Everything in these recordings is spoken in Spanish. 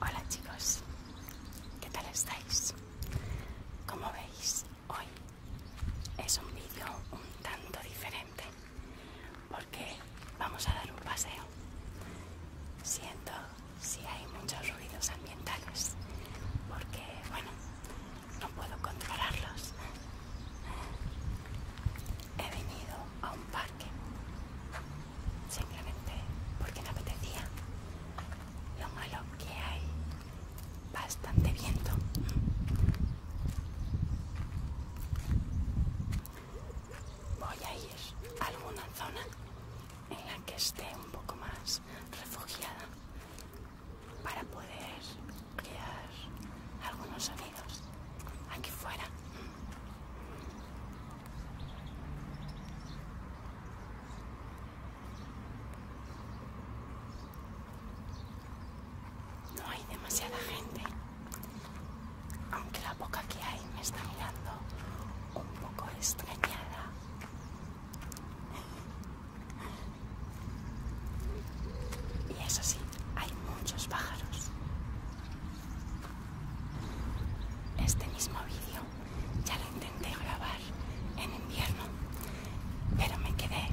Hola chicos, ¿qué tal estáis? Como veis, hoy es un vídeo un tanto diferente porque vamos a dar un paseo. Siento si hay muchos ruidos ambientales porque, bueno, no puedo controlarlos. He venido a un parque simplemente porque me apetecía. Lo malo que hay bastante viento. Voy a ir a alguna zona en la que esté un poco más refugiada para poder crear algunos sonidos aquí fuera. No hay demasiada gente, aunque la boca que hay me está mirando un poco extrañada. Y eso sí, hay muchos pájaros. Este mismo vídeo ya lo intenté grabar en invierno, pero me quedé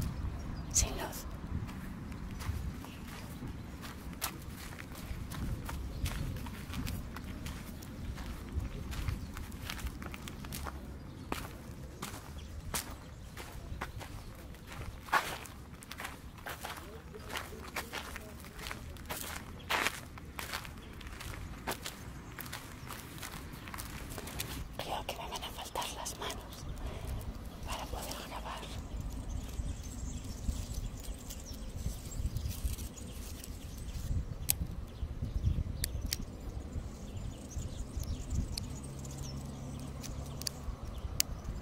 sin luz. Creo que me van a faltar las manos para poder grabar.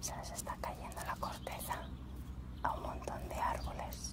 Se está cayendo la corteza a un montón de árboles.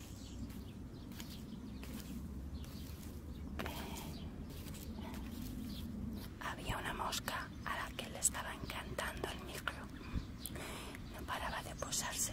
Había una mosca a la que le estaba encantando el micro. No paraba de posarse.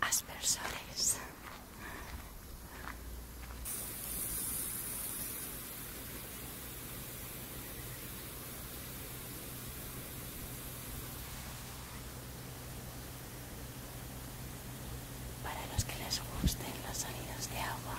aspersores. Para los que les gusten las salidas de agua.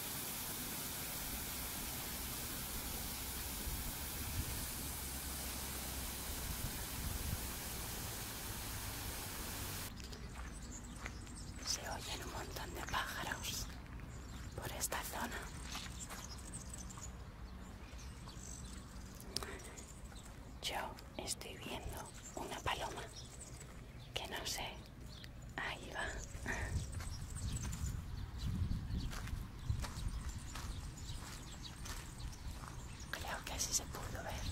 Se oyen un montón de pájaros por esta zona. Yo estoy viendo una paloma que no sé Ahí va. Creo que así se pudo ver.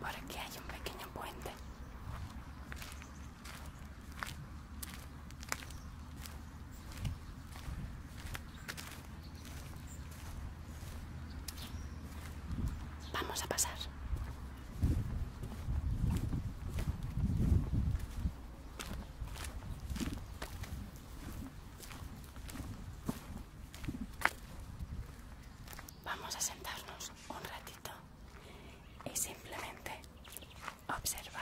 Por aquí hay un pequeño puente. Vamos a pasar. Vamos a sentarnos un ratito y simplemente observar.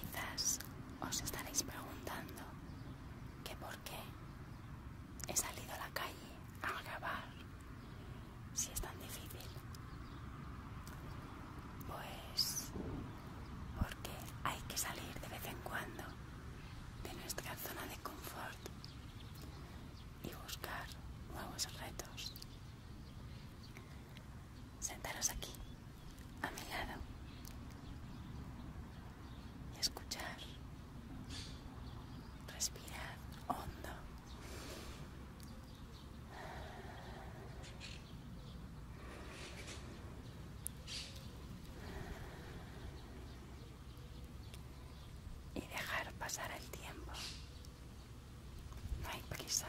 Quizás os estaréis preguntando que por qué he salido a la calle a grabar si es tan difícil? Pues porque hay que salir de vez en cuando de nuestra zona de confort y buscar nuevos retos. Sentaros aquí, a mi lado, y escuchar. respirar hondo y dejar pasar el tiempo. No hay prisa.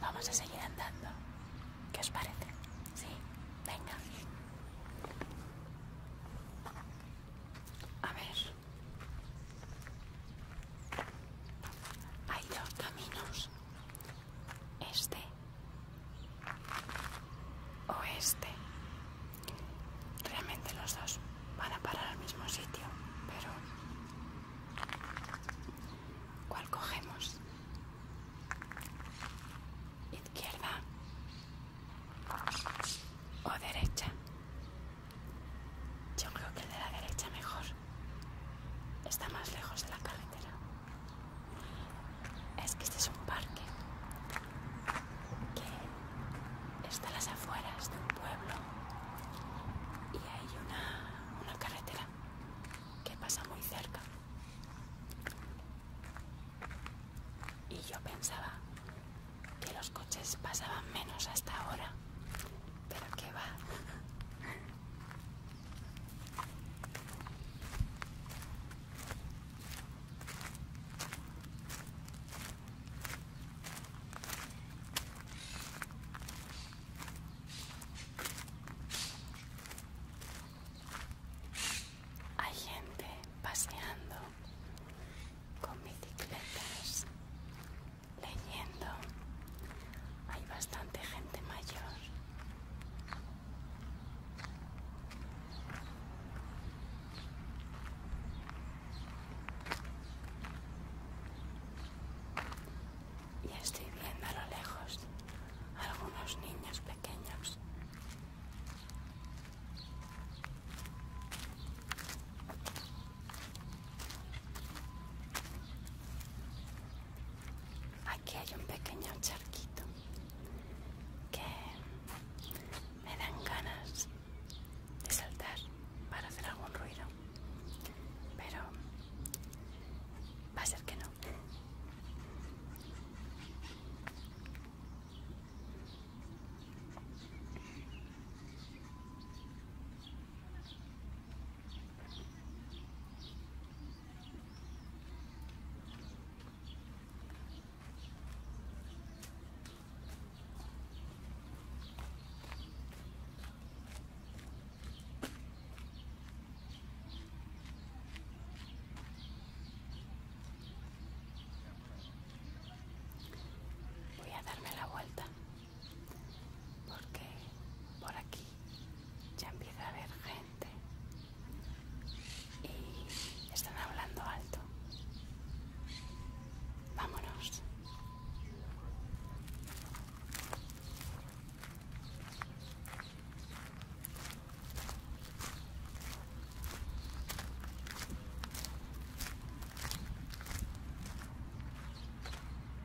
Vamos a seguir andando. ¿Qué os parece? Sí, venga. A ver. Hay dos caminos. este o este. Realmente los dos van a parar al mismo sitio, pero ¿cuál cogemos? ¿Izquierda o derecha? Yo creo que el de la derecha mejor está más lejos de la carretera. Es que este es un parque que está a las afueras de un pueblo y hay una, carretera que pasa muy cerca. Y yo pensaba que los coches pasaban menos hasta ahora, pero que va. Hay gente paseando con bicicletas leyendo. Hay bastante gente mayor. Y estoy viendo a lo lejos algunos niños pequeños. Aquí hay un pequeño charquito que me dan ganas de saltar para hacer algún ruido, pero va a ser que no. Voy a darme la vuelta porque por aquí ya empieza a haber gente y están hablando alto. Vámonos.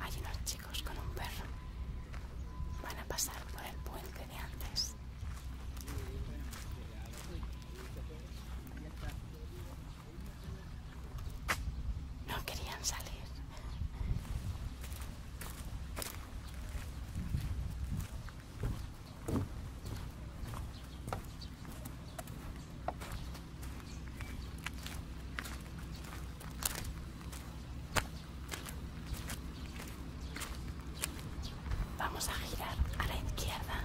Hay unos chicos con un perro. Van a pasar por el puente de antes. No querían salir. Vamos a girar a la izquierda.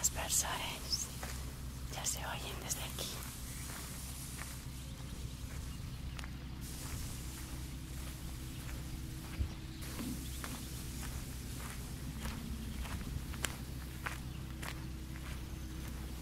Los personas ya se oyen desde aquí.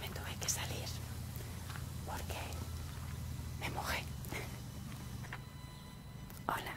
Me tuve que salir porque me mojé. Hola.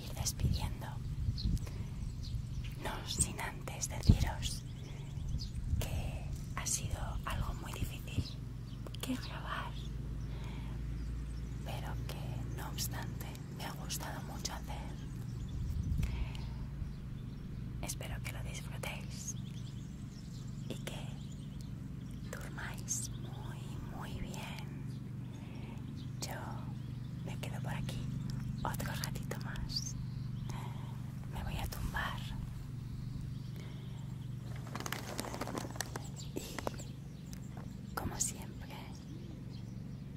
ir despidiendo. No sin antes deciros que ha sido algo muy difícil que grabar, pero que no obstante me ha gustado mucho hacer. Espero que lo disfrutéis y que durmáis muy, muy bien yo me quedo por aquí otro ratito más. Me voy a tumbar. Y, como siempre,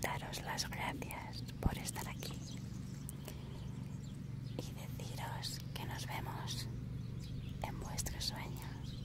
daros las gracias por estar aquí. Y deciros que nos vemos en vuestros sueños.